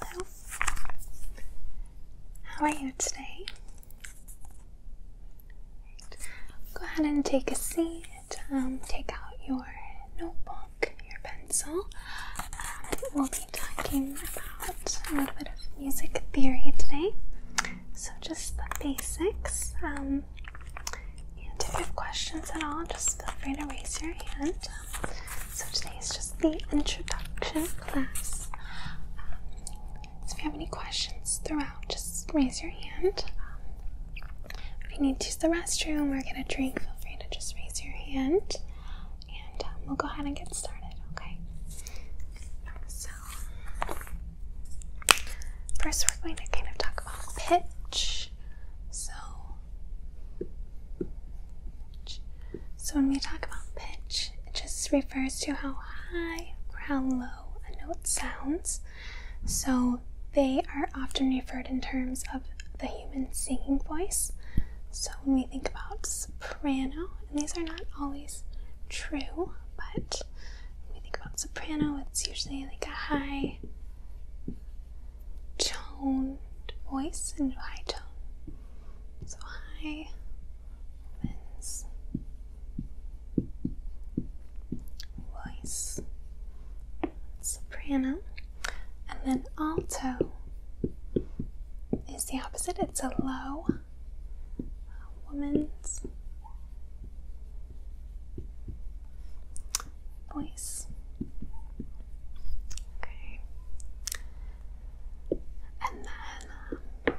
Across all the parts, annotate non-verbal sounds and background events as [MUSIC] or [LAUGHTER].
Hello. How are you today? Go ahead and take a seat. Um, take out your notebook, your pencil. we'll be talking about a little bit of music theory today. So just the basics. Um, if you have questions at all, just feel free to raise your hand. So today is just the introduction class. Um, if you have any questions throughout, just raise your hand. Um, if you need to use the restroom or get a drink, feel free to just raise your hand. And um, we'll go ahead and get started, okay? So, first we're going to kind of talk about pitch. So, so when we talk about pitch, it just refers to how high or how low a note sounds. So they are often referred in terms of the human singing voice. So when we think about soprano, and these are not always true, but when we think about soprano, it's usually like a high tone voice and high tone. So high opens voice soprano and then alto is the opposite. It's a low woman's voice. Okay. And then um,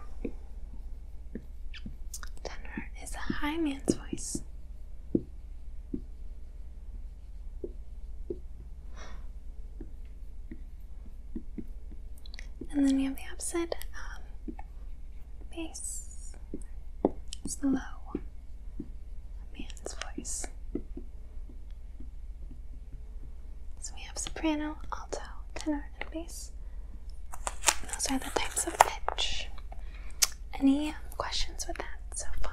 tenor is a high man's voice. And then we have the opposite um, bass. It's the low, a man's voice. So we have soprano, alto, tenor, and bass. Those are the types of pitch. Any questions with that so far?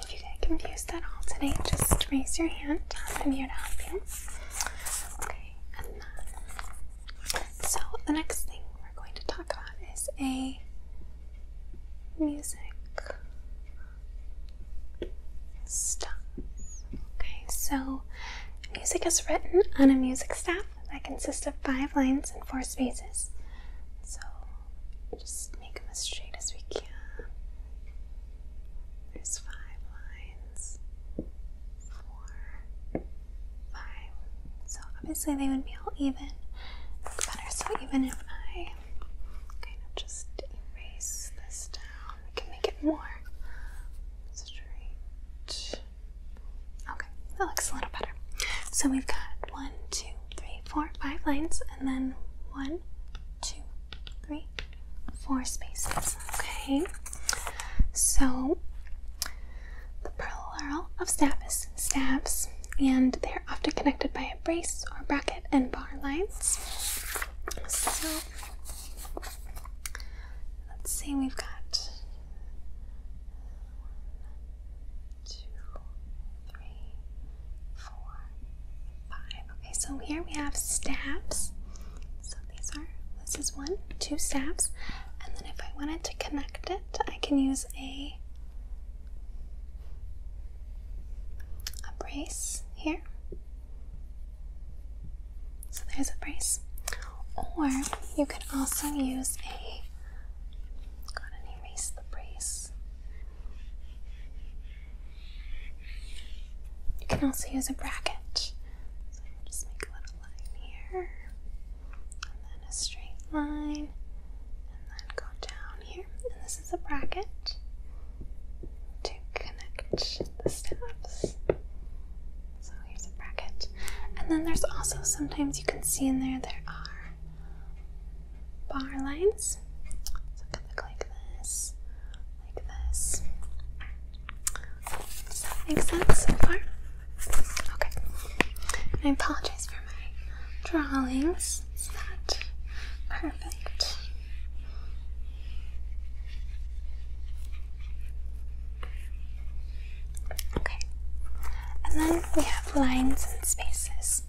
If you get confused at all today, just raise your hand. I'm here to help you. Okay, so the next thing we're going to talk about is a music stuff. Okay, so music is written on a music staff that consists of five lines and four spaces. So just make them as straight as we can. There's five lines, four, five. So obviously they would be all even. It's better. So even if I kind of just erase this down, we can make it more straight. Okay, that looks a little better. So we've got one, two, three, four, five lines, and then one, two, three, four spaces. Okay, so the plural of staff is staffs, and they're often connected by a brace or bracket and bar lines. So let's see, we've got one, two, three, four, five. Okay, so here we have stabs. So these are this is one, two stabs, and then if I wanted to connect it, I can use a a brace here. So there's a brace. Or you can also use a. Go ahead erase the brace. You can also use a bracket. So just make a little line here, and then a straight line, and then go down here. And this is a bracket to connect the staffs. So here's a bracket. And then there's also sometimes you can see in there there are bar lines. So it can look like this, like this. Does that make sense so far? Okay. I apologize for my drawings. It's not perfect. Okay, and then we have lines and spaces.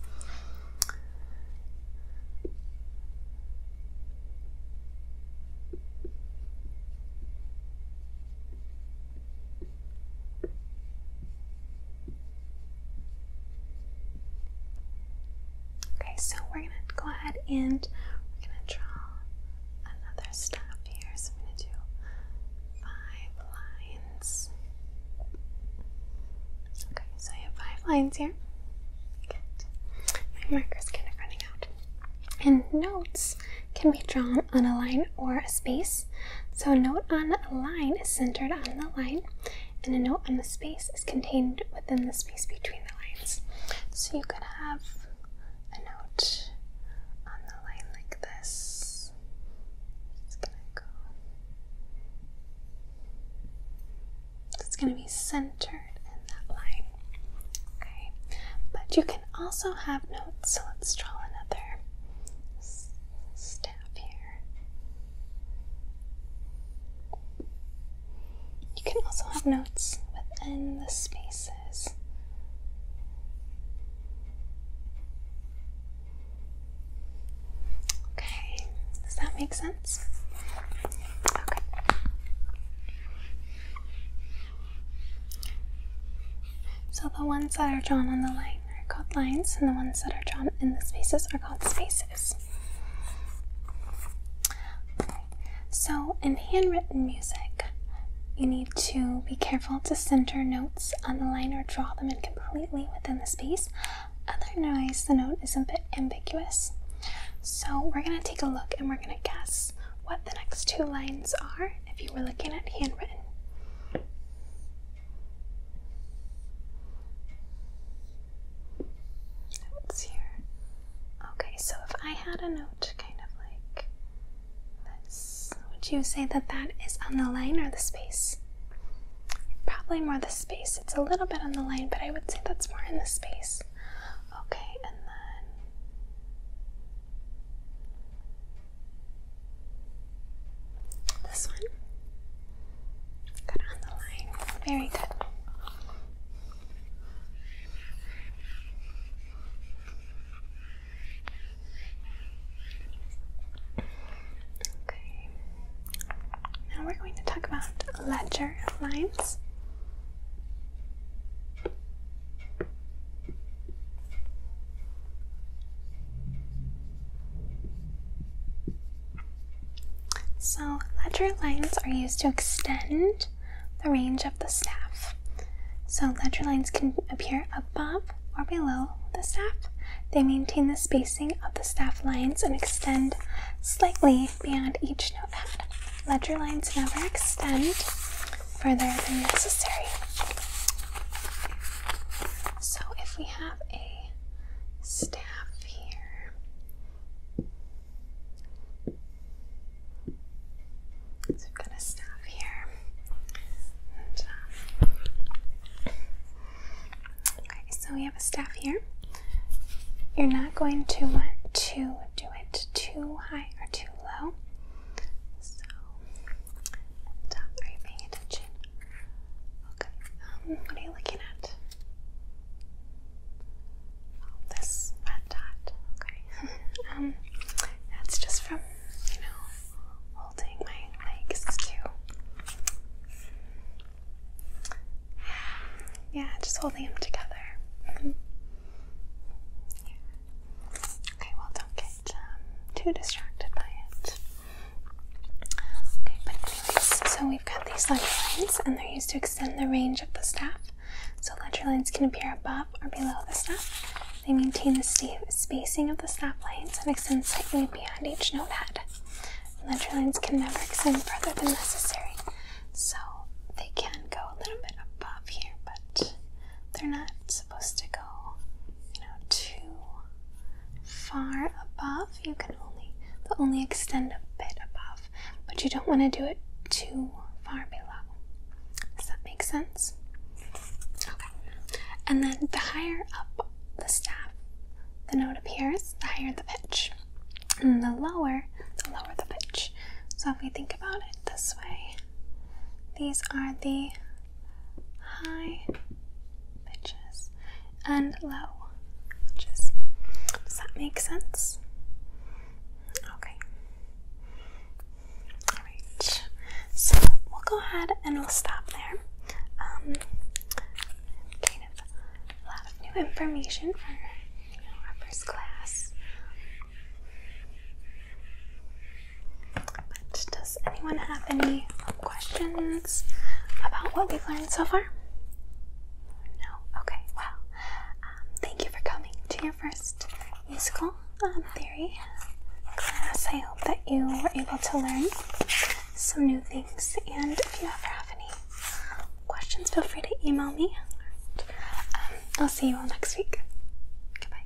Okay, so we're going to go ahead and we're going to draw another stop here. So I'm going to do five lines. Okay, so I have five lines here. Good. My marker's kind of running out. And notes can be drawn on a line or a space. So a note on a line is centered on the line, and a note on the space is contained within the space between the lines. So you could have a note on the line like this. It's gonna go. It's gonna be centered in that line. Okay. But you can also have notes, so let's draw another staff here. You can also have notes within the spaces. Okay, does that make sense? Okay. So the ones that are drawn on the line are called lines, and the ones that are drawn in the spaces are called spaces. So, in handwritten music, you need to be careful to center notes on the line or draw them in completely within the space. Otherwise, the note is a bit ambiguous. So, we're going to take a look and we're going to guess what the next two lines are if you were looking at handwritten. Notes here. Okay, so if I had a note kind of like this, would you say that that is on the line or the space? Probably more the space. It's a little bit on the line, but I would say that's more in the space. Okay, and then. This one? Good on the line. Very good. Okay. Now we're going to talk about ledger lines. So, ledger lines are used to extend the range of the staff. So, ledger lines can appear above or below the staff. They maintain the spacing of the staff lines and extend slightly beyond each notepad. Ledger lines never extend further than necessary. So, if we have a staff so we've got a staff here. Uh, okay, so we have a staff here. You're not going to want to do it too high or too low. So, are you paying attention? Okay, um, what are you looking at? Oh, this red dot. Okay. [LAUGHS] um, that's just from, you know, holding my legs too. Yeah, just holding them together. Mm-hmm. Okay, well, don't get um, too distracted by it. Okay, but anyways, so we've got these ledger lines, and they're used to extend the range of the staff. So ledger lines can appear above or below the staff. They maintain the spacing of the staff lines and extend slightly beyond each node head. Ledger lines can never extend further than necessary, so they can go a little bit above here, but they're not supposed to go, you know, too far above. You can only they only extend a bit above, but you don't want to do it too far below. Does that make sense? Okay. And then the higher up the staff the note appears, the higher the pitch. And the lower, the lower the pitch. So if we think about it this way, these are the high pitches and low pitches. Does that make sense? Okay. Alright. So we'll go ahead and we'll stop there. Um kind of a lot of new information for you first class does anyone have any questions about what we've learned so far? No? Okay, well, um, thank you for coming to your first musical um, theory class. I hope that you were able to learn some new things, and if you ever have any questions, feel free to email me. Um, I'll see you all next week. Goodbye.